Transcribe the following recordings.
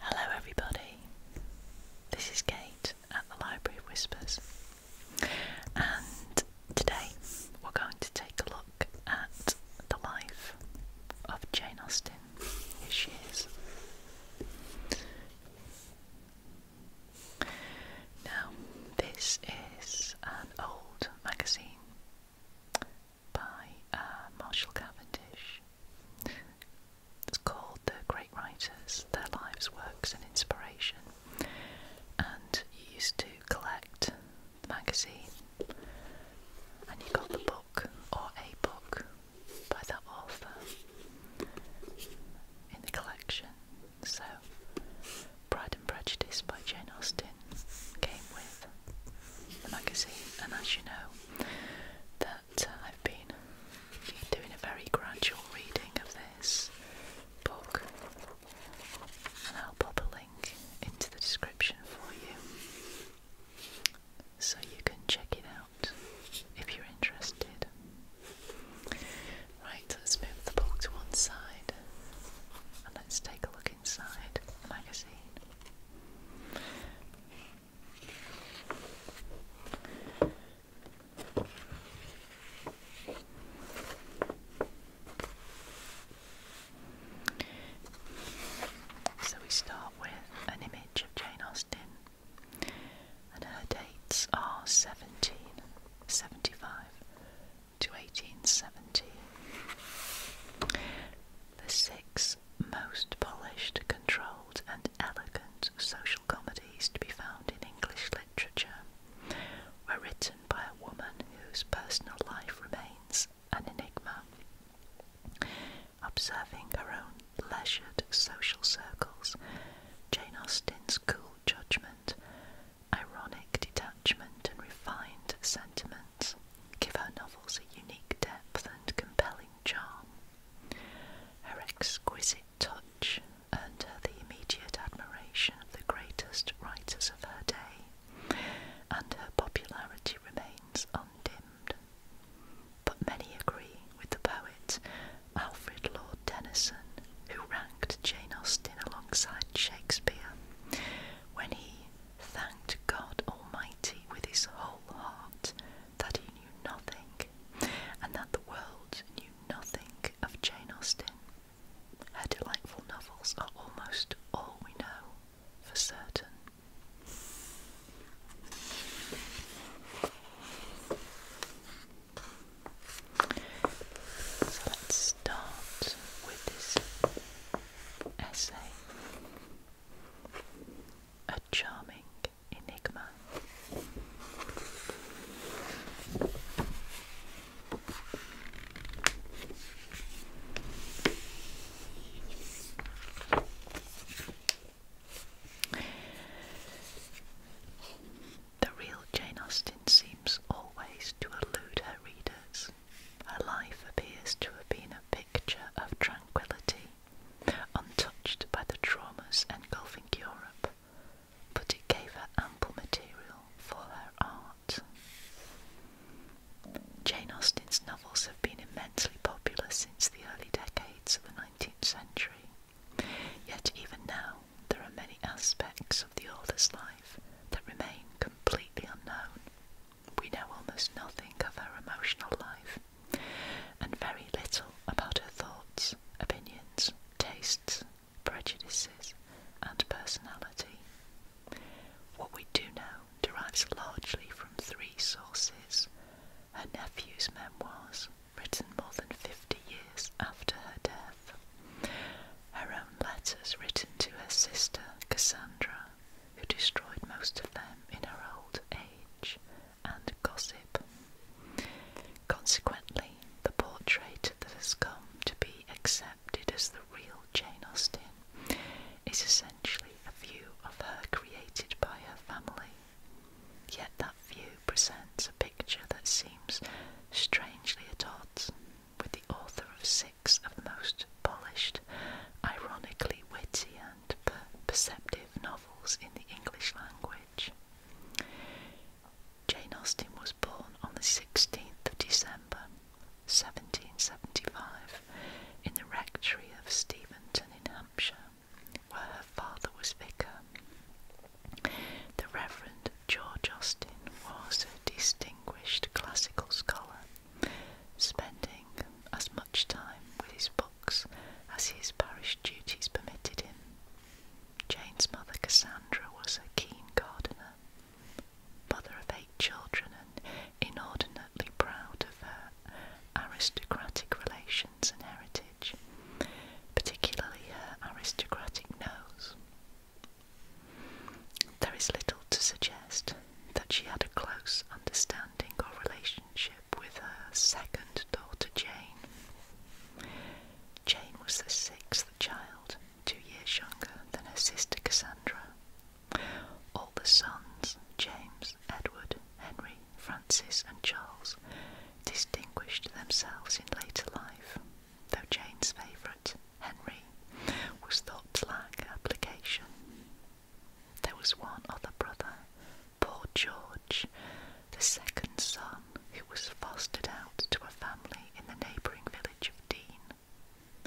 Hello, everybody. This is Kate at the Library of Whispers, and today we're going to take a look at the life of Jane Austen. Here she is. Now, this is an old magazine by uh, Marshall Cavendish. It's called The Great Writers, Their Lives, Works and Inspiration. And you used to collect the magazine and you got the book or a book by that author in the collection. So Pride and Prejudice by Jane Austen came with the magazine, and as you know, that uh, I've been doing a very gradual reading of this book, and I'll pop a link into the description for you so you can check it out if you're interested. Right, let's move the book to one side and let's take a look inside the magazine. So we start with an image of Jane Austen, and her dates are 1775 to 1870 the six most polished, controlled, and elegant social comedies to be found in English literature were written by a woman whose personal life remains an enigma. Observing her own leisured social circles, Jane Austen's cool judgment, ironic detachment, and refined sentiment give her novels a unique depth and compelling charm. Her exquisite touch earned her the immediate admiration of the greatest writers of her day, and her popularity remains undimmed. But many agree with the poet Alfred Lord Tennyson, who ranked Jane Austen alongside Shakespeare when he thanked God Almighty with his whole heart that he knew nothing and that the world knew nothing of Jane Austen. Her delightful novels are almost all we know for certain. let's start with this essay, a charming enigma. The real Jane Austen seems always to elude her readers. Her life appears to have been a picture of tranquility, untouched by the traumas engulfing Europe, but it gave her ample material for her art. Jane Austen's novels have been immensely popular since the early decades of the 19th century, yet even now there are many aspects of the author's life that remain completely unknown. We know almost nothing of her emotional life and very little about her thoughts, opinions, tastes, prejudices, and personality. What we do know derives largely from three sources her nephew's memoirs, written more than 50 years after her death, her own letters written to her sister Cassandra, who destroyed most of them in her old age and gossip. Consequently, the portrait that has come to be accepted as the real Jane Austen is essentially a view of her created by her family. Yet that view presents a picture that seems strangely at odds with the author of six of the most polished, ironically witty, and perceptive novels in the English language. Jane Austen was born on the 16th of December 1775 in the rectory of Steventon in Hampshire, where her father was vicar. The Reverend George Austen was a distinguished classical scholar spending as much time with his books as his parish duties permitted him. Jane's mother, Cassandra, was a keen gardener, mother of eight children, and inordinately proud of her aristocratic relations and heritage, particularly her aristocratic nose. There is little to suggest that she had a close understanding or relationship with her second daughter Jane. Jane was the sixth child, two years younger than her sister Cassandra. All the sons, James, Edward, Henry, Francis, and Charles, distinguished themselves in later life, though Jane's favourite. Henry was thought to application. There was one other brother, poor George, the second son, who was fostered out to a family in the neighbouring village of Dean.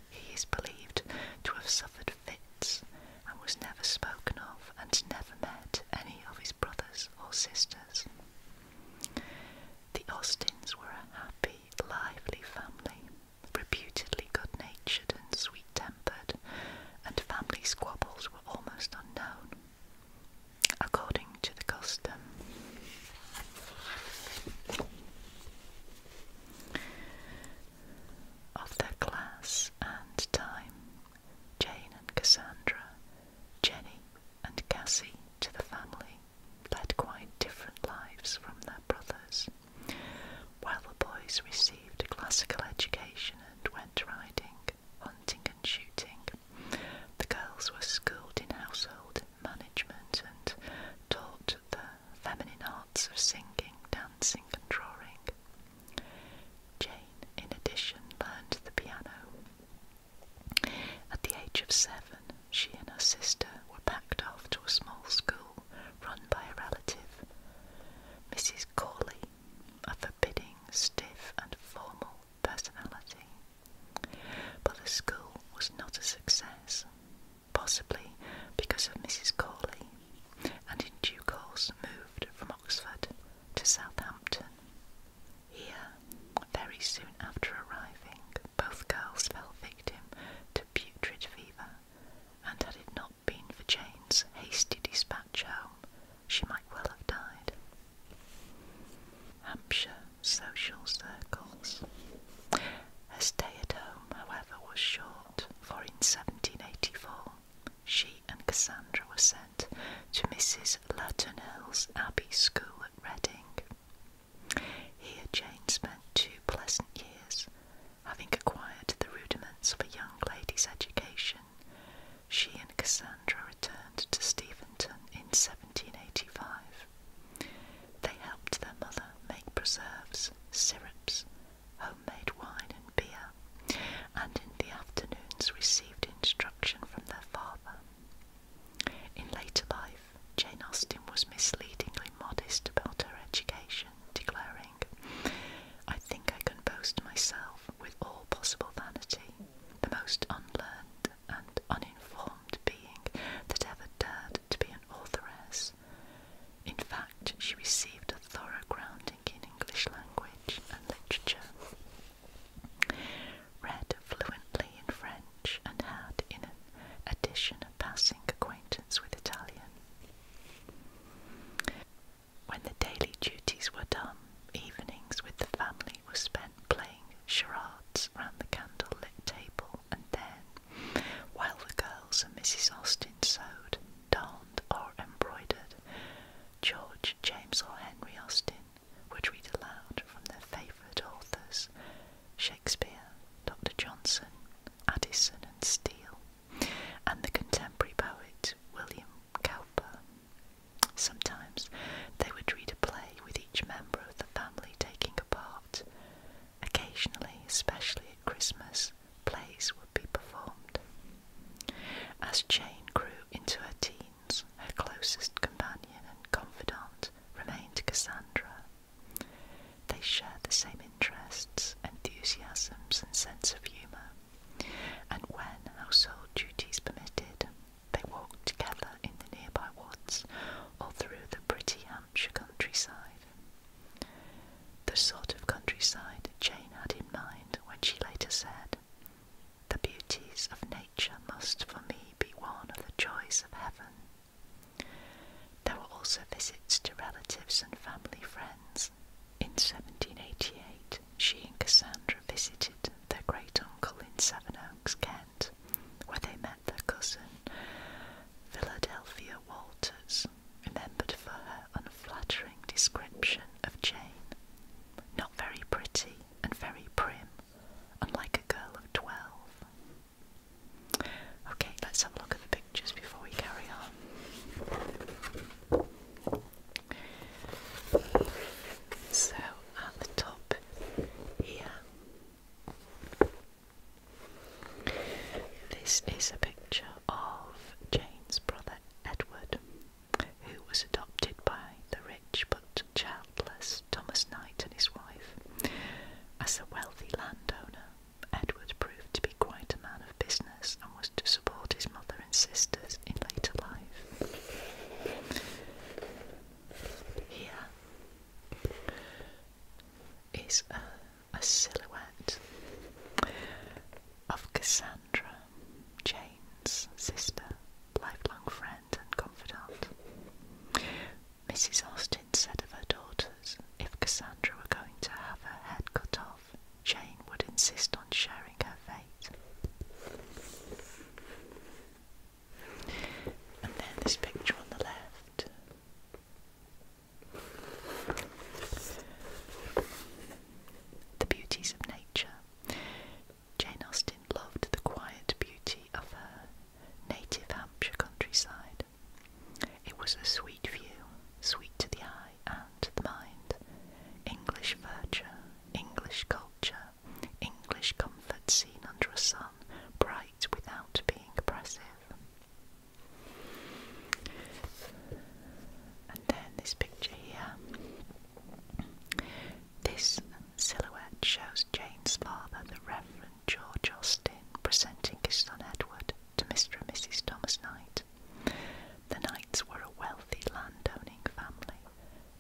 He is believed to have suffered fits and was never spoken of and never met any of his brothers or sisters. The Austins were a happy, lively family reputedly good natured and sweet tempered, and family squabbles were almost unknown. According to the custom, of their class and time, Jane and Cassandra, Jenny and Cassie to the family led quite different lives from theirs their brothers. While the boys received a classical education and went riding, hunting, and shooting, the girls were schooled in household management and taught the feminine arts of singing, dancing, and drawing. Jane, in addition, learned the piano. At the age of seven, she and her sister were packed off to a small school run by a relative. Mrs. Corley, a forbidding, stiff, and formal personality. But the school was not a success, possibly because of Mrs. Corley, and in due course moved from Oxford to Southampton. Here, very soon after arriving, both girls fell victim to putrid fever, and had it not been for Jane's hasty dispatch home, she might well have died. Hampshire social circles. Her stay at home, however, was short, for in 1784 she and Cassandra were sent to Mrs. Laturnell's Abbey School at Reading, here Jane spent two pleasant years, having acquired the rudiments of a young lady's education. She and Cassandra returned to Steventon in 1785. They helped their mother make preserves, syrups, homemade wine and beer, and in the afternoons received instruction from their father. In later life, Jane Austen was misleadingly modest about her education, declaring, I think I can boast myself with all possible vanity, the most unlearned and uninformed being that ever dared to be an authoress. In fact, she received a thorough grounding in English language and literature, read fluently in French, and had, in addition, a passing acquaintance with Italian. When the daily duties were done, evenings with the family were spent playing charades round the candlelit table, and then, while the girls and Mrs. Austin sewed, darned, or embroidered, George, James, or Henry Austin would read aloud from their favourite authors. Shakespeare, Dr. Johnson, Addison, and Steele, and the contemporary poet William Cowper. Sometimes they would read a play with each member of the family taking a part. Occasionally, especially at Christmas, plays would be performed. As Jane grew into her teens, her closest companion and confidant remained Cassandra, they shared the same interests, enthusiasms, and sense of humour, and when household duties permitted, they walked together in the nearby woods or through the pretty Hampshire countryside. The sort of countryside Jane had in mind when she later said, The beauties of nature must for me be one of the joys of heaven. There were also visits to relatives and family friends. In 1788, she and Cassandra visited their great uncle in Sevenoaks, Kent, where they met their cousin, Philadelphia Walters, remembered for her unflattering description of Jane. Not very pretty and very prim, unlike a girl of twelve, Okay, let's have a look at the pictures before we carry on. So, at the top here, this is a picture of Jane's brother Edward, who was adopted by the rich but childless Thomas, Knight and his wife. As a wealthy landowner, Edward proved to be quite a man of business and was to support his mother and sisters in later life. Here is a silhouette of Cassandra, Jane's sister, lifelong friend and confidant. Mrs. Austin said of her daughters, if Cassandra were going to have her head cut off, Jane would insist on sharing her fate. And then this picture on the left. The beauties of nature. Jane Austen loved the quiet beauty of her native Hampshire countryside it was a sweet view, sweet to the eye and to the mind. English verdure, English culture, English comfort seen under a sun bright without being oppressive. And then this picture here. This silhouette shows Jane's father, the Reverend. George Austin presenting his son Edward to Mr. and Mrs. Thomas Knight. The Knights were a wealthy landowning family.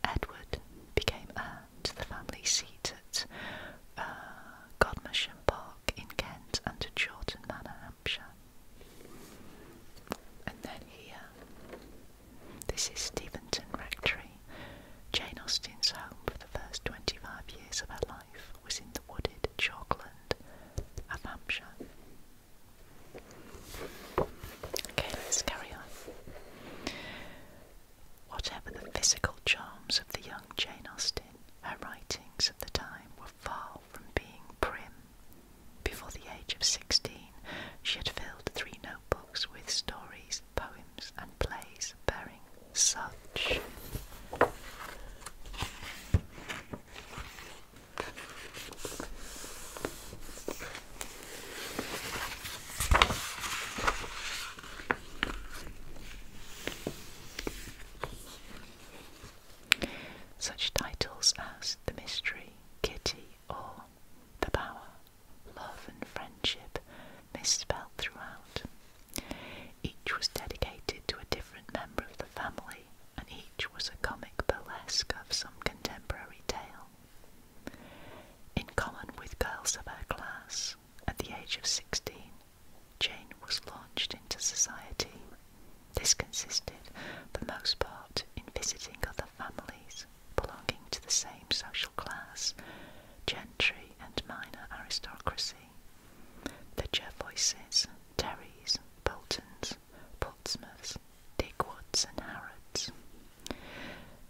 Edward became heir to the family seat at uh, Godmersham Park in Kent and at Chawton Manor, Hampshire. And then here, this is Steventon Rectory, Jane Austen's home for the first 25 years of her life was in the wooded chalkland of Hampshire. Okay, let's carry on. Whatever the physical charms of the young Jane Austen, her writings of the time were far from being prim. Before the age of sixteen, she had filled three notebooks with stories, poems, and plays bearing such. Such titles as The Mystery, Kitty, or The power, Love and Friendship misspelled throughout. Each was dedicated to a different member of the family, and each was a comic burlesque of some contemporary tale. In common with girls of her class, at the age of 16, Jane was launched into society. This consisted, for the most part, in visiting other families belonging to the same social class, gentry and minor aristocracy, the Jervoises, Terrys, Boltons, Portsmouths, Digwoods and Harrods.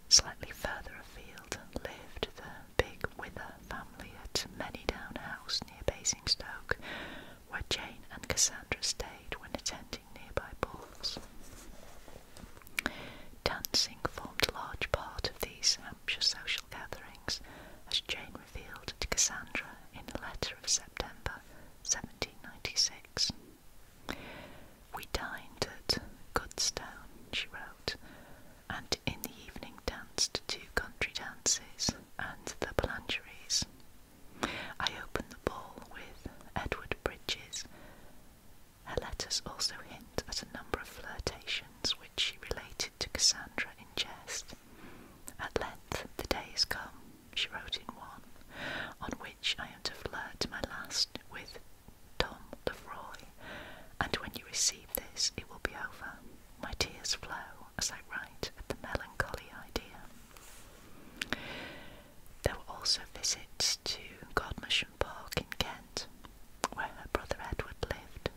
Slightly further afield lived the big Wither family at Manydown House near Basingstoke, where Jane and Cassandra stayed when attending nearby balls. Dancing formed a large part of these Hampshire social gatherings, as Jane revealed to Cassandra in a letter of September 1796. We dined at Godstone. she wrote, and in the evening danced two country dances and the Blancheries. I opened the ball with Edward Bridges. Her letters also hint at a number of flirtations she related to Cassandra in jest. At length the day is come, she wrote in one, on which I am to flirt my last with Tom Lefroy, and when you receive this, it will be over. My tears flow as I write at the melancholy idea. There were also visits to Godmersham Park in Kent, where her brother Edward lived,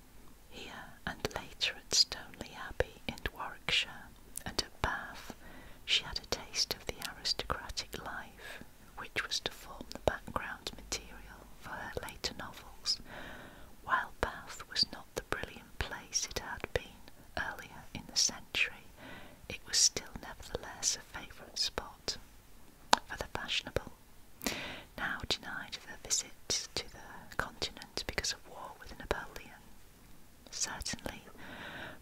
here and later at Stoneleigh Abbey in Warwickshire, and at Bath, she had a taste of the aristocratic life which was to form the background material for her later novels, while Bath was not the brilliant place it had been earlier in the century, it was still nevertheless a favourite spot for the fashionable, now denied their visits to the continent because of war with Napoleon. Certainly,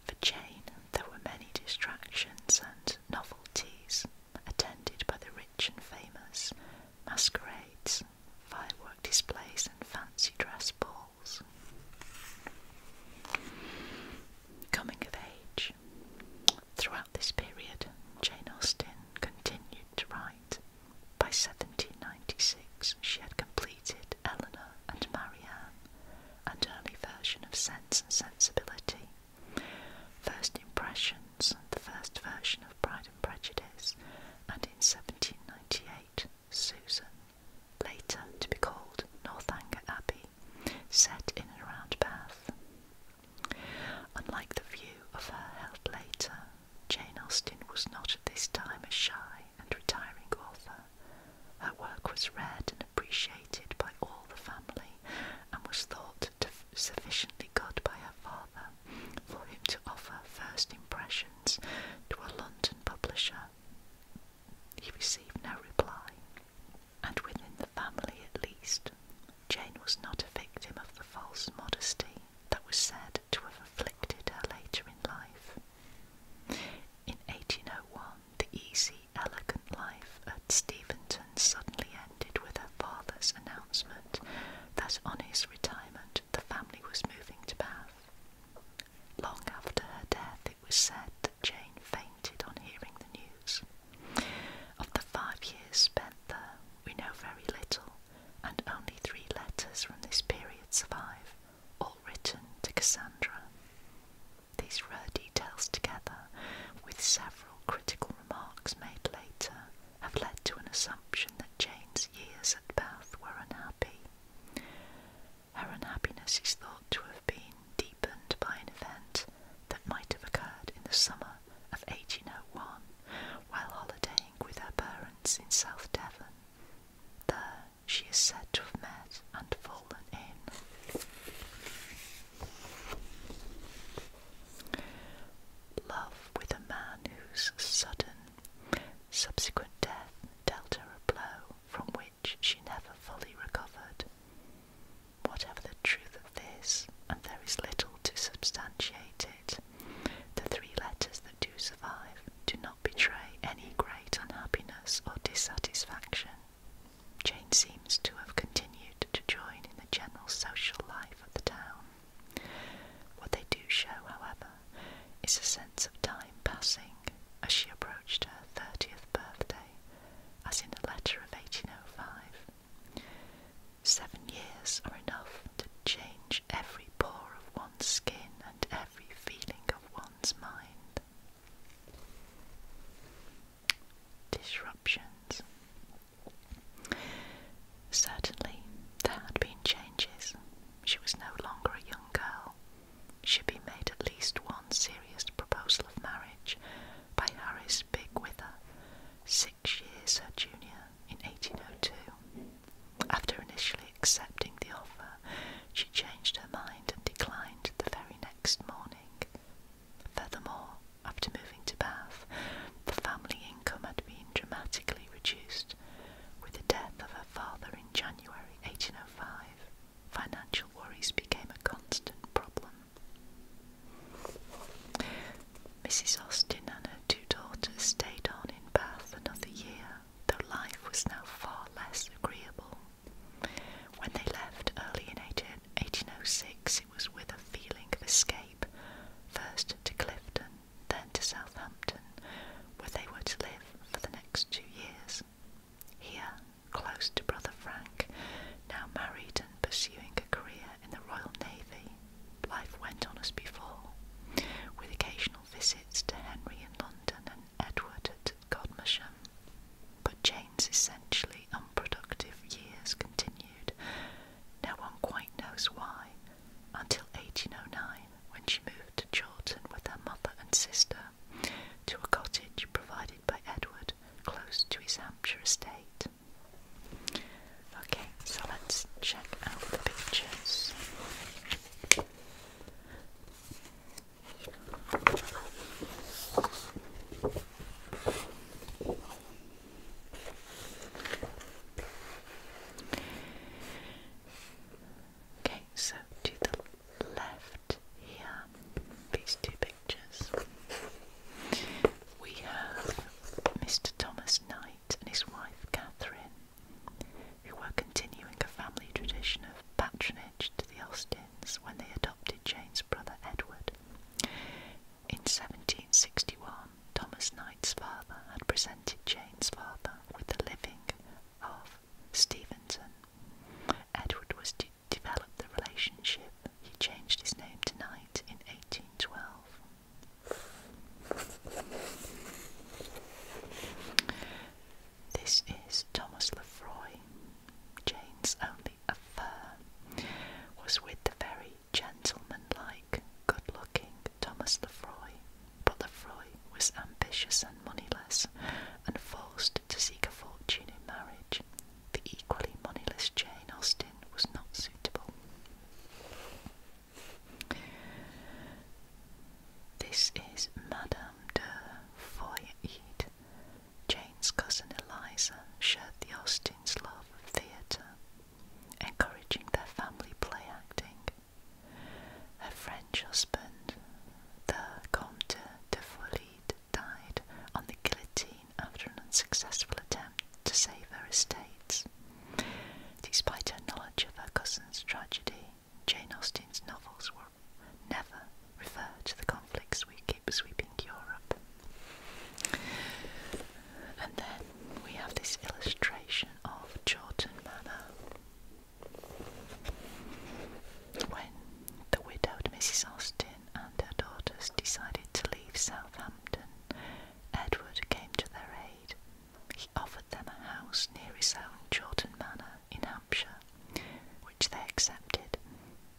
for Jane there were many distractions and novelties attended by the rich and famous, masquerades, fireworks displays, and fancy dress balls. Coming of age. Throughout this period, Jane Austen continued to write. By 1796, she had completed Eleanor and Marianne, an early version of Sense and Sensibility, First Impressions, and the first version of Pride and Prejudice, and in 1798, Susan, later to be called Northanger Abbey, set in and around Bath. Unlike the view of her held later, Jane Austen was not at this time a shy and retiring author. Her work was read and appreciated by all the family and was thought sufficiently good by her father for him to offer first impressions to a London publisher. He received no reply, and within the family at least, Jane was not a victim of the false modesty that was said to have afflicted her later in life. In 1801, the easy, elegant life at Steventon suddenly ended with her father's announcement that on his retirement the family was moving to Bath. Long after her death, it was said that Jane fainted on hearing the news. Of the five years spent there, we know very little, and only three letters from this period survive, all written to Cassandra. These rare details, together with several critical remarks made later, have led to an assumption that Jane's years at Bath were unhappy. Her unhappiness is thought to have been deepened by an event that might have occurred in the summer of 1801 while holidaying with her parents in South Devon. There she is said to have met and fallen in. Love with a man whose sudden, subsequent death dealt her a blow from which she never fully recovered. Whatever the truth of this, and there is little to substantiate it, the three letters that do survive do not betray any great unhappiness or dissatisfaction. Jane seems to have continued to join in the general social life of the town. What they do show, however, is a sense of time passing as she approached her 30th birthday, as in a letter of 1805. Seven years are enough to change every pore of one's skin and every feeling of one's mind. Disruptions. Certainly, there had been changes. She was no longer a young girl. She'd been made at least one serious proposal of marriage by Harry's big six years her junior in 1802. After initially accepting the offer, she changed her mind and declined the very next morning. Furthermore, after moving to Bath, the family income had been dramatically reduced. With the death of her father in January 1805, financial worries became a constant problem. Mrs. Austin and her two daughters stayed on in Bath another year, though life was now far less agreeable. When they left early in 18, 1806, it was with a feeling of escape, first to Clifton, then to Southampton, where they were to live for the next two years. Here, close to brother Frank, now married and pursuing a career in the Royal Navy, life went on as before, with occasional visits to Henry in London and Edward at Godmersham. But Jane's essentially unproductive years continued. No one quite knows why, until 1809, when she moved to Chawton with her mother and sister to a cottage provided by Edward close to his Hampshire estate. Okay, so let's check out the pictures. Okay, so to the left here, these two we have Mr. Thomas Knight and his wife Catherine, who were continuing a family tradition of patronage to the Austins when they adopted Jane's brother Edward. In 1761, Thomas Knight's father had presented Jane's father with the living of Stevenson. Edward was to develop the relationship he changed his name to Knight in 1812. This is Thomas Lefroy, James only affair, was with the very gentlemanlike, good-looking Thomas Lefroy, but Lefroy was ambitious and moneyless, and forced to seek a fortune in marriage, the equally moneyless Jane Austen was not suitable. This is Madame de Foyette. Jane's cousin Eliza shared the Austens' love of theatre, encouraging their family play acting. Her French husband, the Comte de Follide, died on the guillotine after an unsuccessful attempt to save her estates. Despite her knowledge of her cousin's tragedy, Jane Austen's novels were never refer to the conflicts we keep sweeping Europe. And then we have this illustration of Chawton Manor. When the widowed Mrs. Austen and her daughters decided to leave Southampton, Edward came to their aid. He offered them a house near his own Chawton Manor in Hampshire, which they accepted.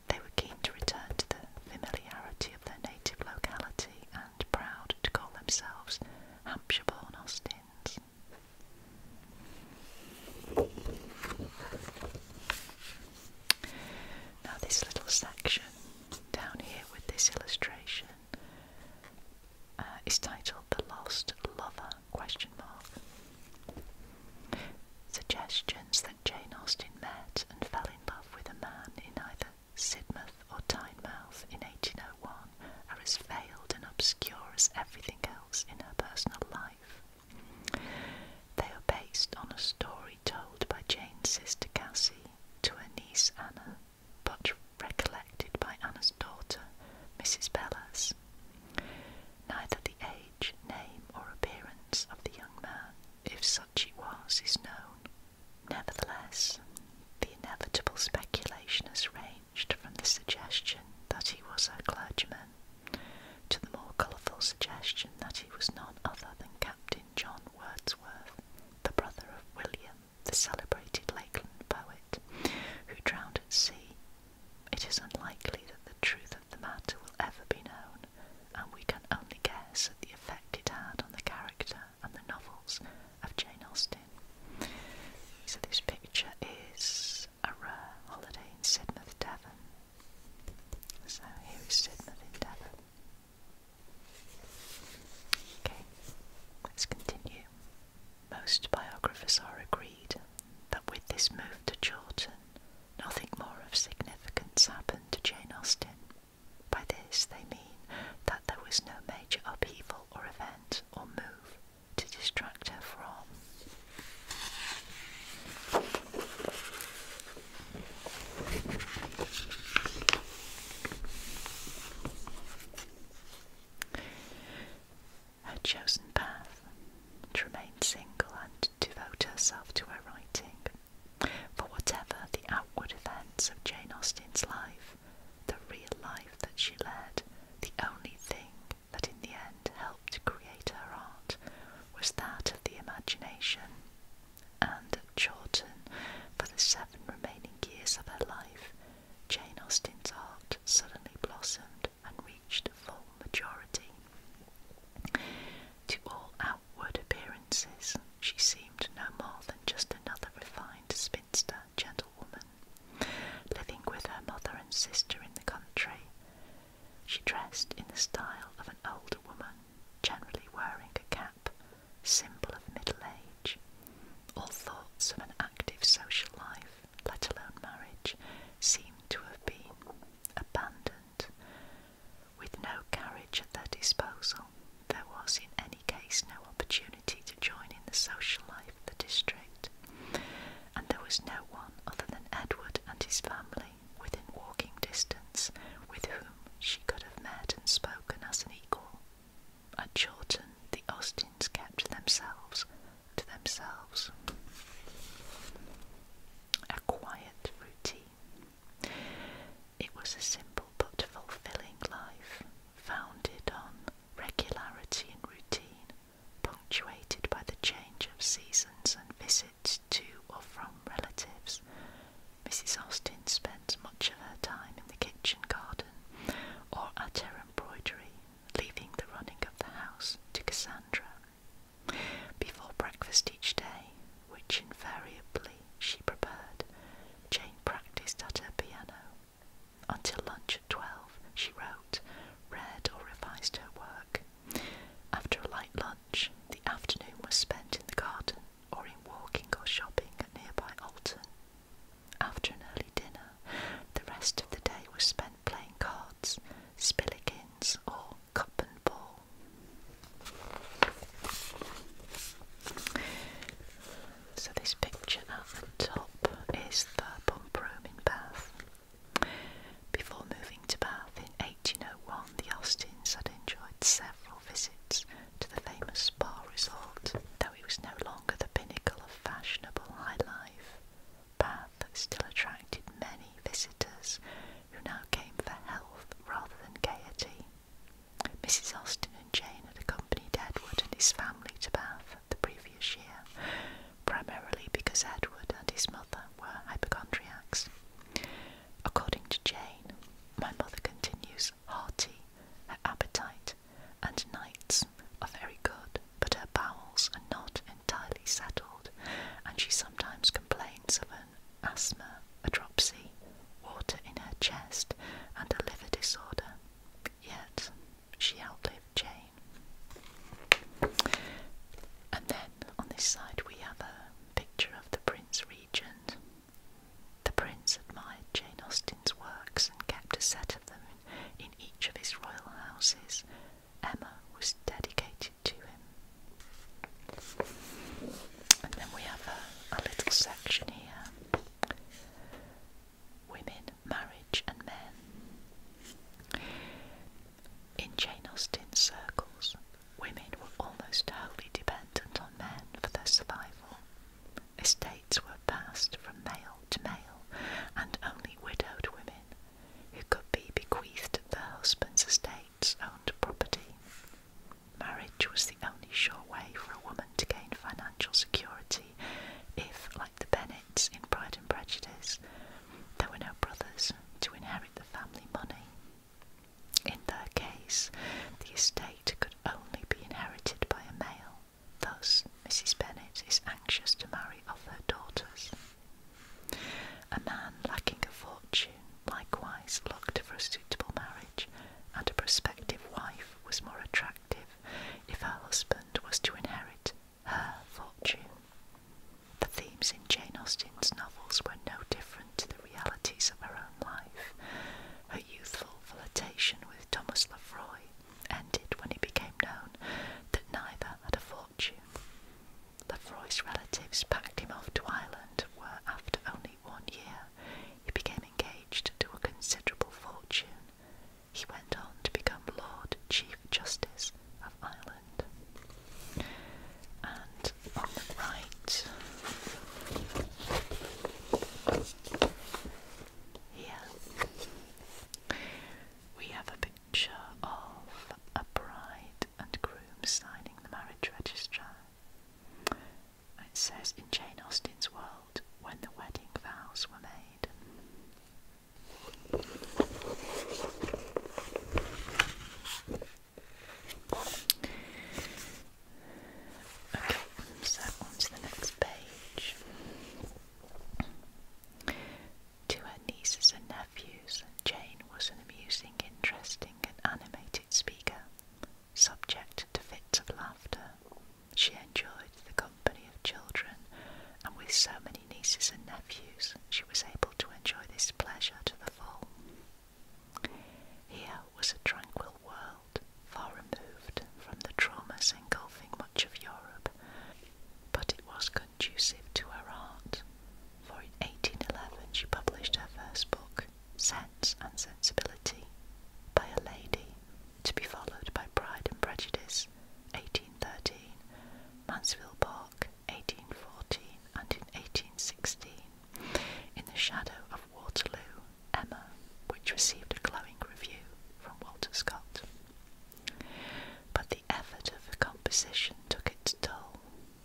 They were keen to return to the familiarity of their native locality and proud to call themselves Hampshire born Austins. Now, this little section down here with this illustration uh, is titled "The Lost Lover?" question mark. Suggestions that Jane Austen met and fell in love with a man in either Sidmouth or Tynemouth in 1801 are as veiled and obscure as everything else in her personal life. They are based on a story told by Jane's sister Cassie to her niece Anna, but recollected by Anna's daughter, Mrs. Bellas. Neither the age, name, or appearance of the young man, if such he was, is known. Nevertheless, the inevitable speculation has ranged from the suggestion that he was a clergyman to the more colourful suggestion that he was none other than Captain John Wordsworth, the brother of William, the celebrated Lakeland poet, who drowned at sea, it is unlikely that the truth of the matter will ever be known, and we can only guess at the effect it had on the character and the novels of Jane Austen. So, this picture is a rare holiday in Sidmouth, Devon. So, here is Sidmouth Devon. Okay, let's continue. Most biographers are agreed that with this move to Chawton, nothing more of significance happened to Jane Austen. By this, they mean that there was no major upheaval or event or move to distract her from. Her chosen path to remain single and devote herself to her writing. For whatever the outward events of Jane Austen's life, the real life that she led, the only thing that in the end helped create her art was that of the imagination and Chawton for the seven remaining years of her life, Jane Austen's heart suddenly blossomed and reached full maturity. To all outward appearances, she seemed no more than just another refined spinster gentlewoman, living with her mother and sister in the country, she dressed in the style of an older woman, generally wearing a cap, symbol of middle age. All thoughts of an active social life, let alone marriage, seemed to have been abandoned. With no carriage at their disposal, there was in any case no opportunity to join in the social life of the district, and there was no one other than Edward and his family within walking distance with whom she could have met and spoken as an equal. At Chawton, the Austins kept themselves to themselves. A quiet routine. It was a simple but fulfilling life, founded on regularity and routine, punctuated by the change of seasons and visits to or from relatives, Mrs. Austin spent much of her time in the kitchen garden or at her embroidery, leaving the running of the house to Cassandra. Before breakfast each day, which invariably she prepared, Jane practiced at her piano. Until lunch at twelve, she wrote, read, or revised her work, after a light lunch, the afternoon was spent in the garden or in walking or shopping at nearby Alton. After an early dinner, the rest of the day was spent playing cards, spillikins, or cup and ball. So, this picture at the top is the pump room in Bath. Before moving to Bath in 1801, the Austins had enjoyed several visits to the famous spa resort, though it was no longer the pinnacle of fashionable high life. Bath still attracted many visitors who now came for health rather than gaiety. Mrs. Austin and Jane had accompanied Edward and his family to Bath the previous year, primarily because Edward and his mother were hypochondriacs. According to Jane, my mother continues hearty, her appetite and nights are very good, but her bowels are not entirely settled, and she sometimes complains of an asthma, a dropsy, water in her chest, and a liver disorder. Yet she outlived Jane. And then on this side we have a picture of the Prince Regent. The Prince admired Jane Austen's works and kept a set of them in each of his royal houses. Emma was dedicated to him. And then we have a little section here Women, Marriage, and Men. In Jane Austen's circles, Women were almost wholly dependent on men for their survival. Estates were passed from male to male, and only widowed women, who could be bequeathed the husbands' estates, owned property. Marriage was the only sure way for a woman to gain financial security if, like the Bennets in Pride and Prejudice, there were no brothers to inherit the family money. In their case, the estate could only be inherited by a male. Thus, Mrs. Bennet is anxious to marry off her daughters. A man lacking a fortune likewise looked for a suitable marriage, and a prospective wife was more attractive if her husband was to inherit her fortune. The themes in Jane Austen's novels were no different to the realities of her own life. Her youthful flirtation with Thomas Lefroy ended when it became known that neither had a fortune. Lefroy's relatives packed him off to Ireland, where after only one year he became engaged to a considerable fortune. He went on to become Lord Chief Justice of Ireland. And on the right, here, we have a picture of a bride and groom signing the marriage register. It says in Jane Austen's world, when the wedding vows were made. Okay, so on to the next page. To her nieces and nephews, Jane was an amusing, interesting, and animated speaker, subject to fits of laughter. She enjoyed the company of children, and with so many nieces and nephews, she was able to enjoy this pleasure to the full. Here was a tranquil world, far removed from the traumas engulfing much of Europe, but it was conducive to her art, for in 1811 she published her first book, Sense and Sensibility, by a lady, to be followed by Pride and Prejudice, 1813, Mansfield Park, 1814, and in 1816 in the shadow of Waterloo, Emma, which received a glowing review from Walter Scott. But the effort of her composition took its toll.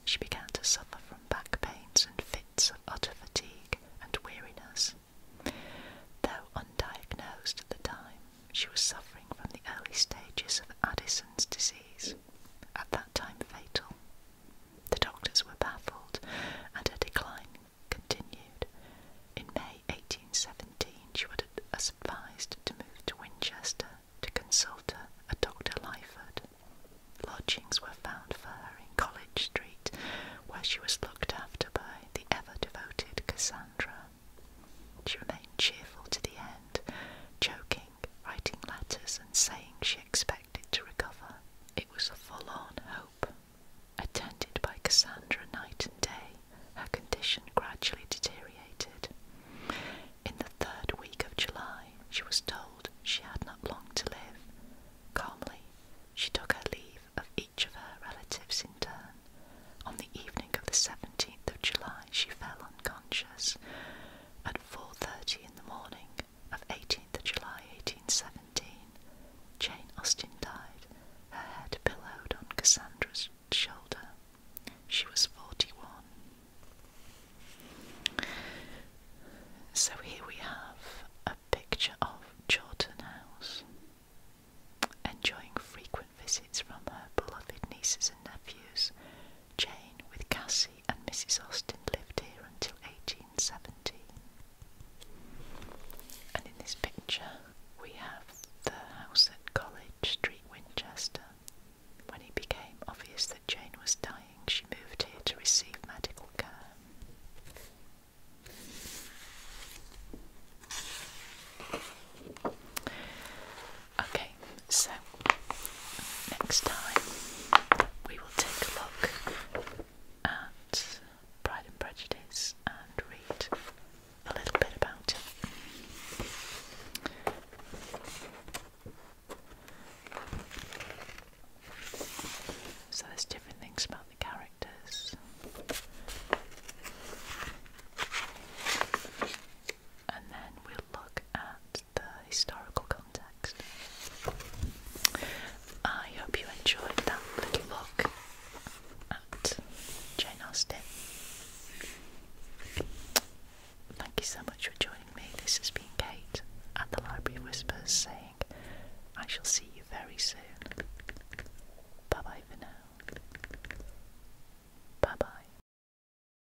She began to suffer from back pains and fits of utter fatigue and weariness. Though undiagnosed at the time, she was suffering from the early stages of Addison's disease, at that time fatal. The doctors were baffled, and her decline continued. In May 1817, she was advised to move to Winchester to consult a Dr. Lyford. Lodgings were found for her in College Street, where she was looked after by the ever devoted Cassandra. She remained cheerful to the end, joking writing letters, and saying she expected to recover. It was a forlorn hope. Attended by Cassandra night and day, her condition gradually deteriorated. In the third week of July, she was told she had not long to live. Calmly, she took her leave of each of her relatives in turn. On the evening of the 17th of July, she fell unconscious at 4.30 in the morning of 18th July 1817, Jane Austen died, her head pillowed on Cassandra's shoulder. She was 41. So here we have a picture of Chawton House, enjoying frequent visits from her beloved nieces and nephews Jane with Cassie and Mrs. Austin, lived here until 1817. And in this picture, we have the house at College Street, Winchester. When it became obvious that Jane was dying, she moved here to receive medical care. Okay, so next time we will take a look at Pride and Prejudice and read a little bit about it. So there's different things about the characters. And then we'll look at the historical context. I hope you enjoyed that little look at Jane Austen. Thank you so much for joining me. This has been Kate at the Library of Whispers saying, I shall see you very soon. Bye bye for now. Bye bye.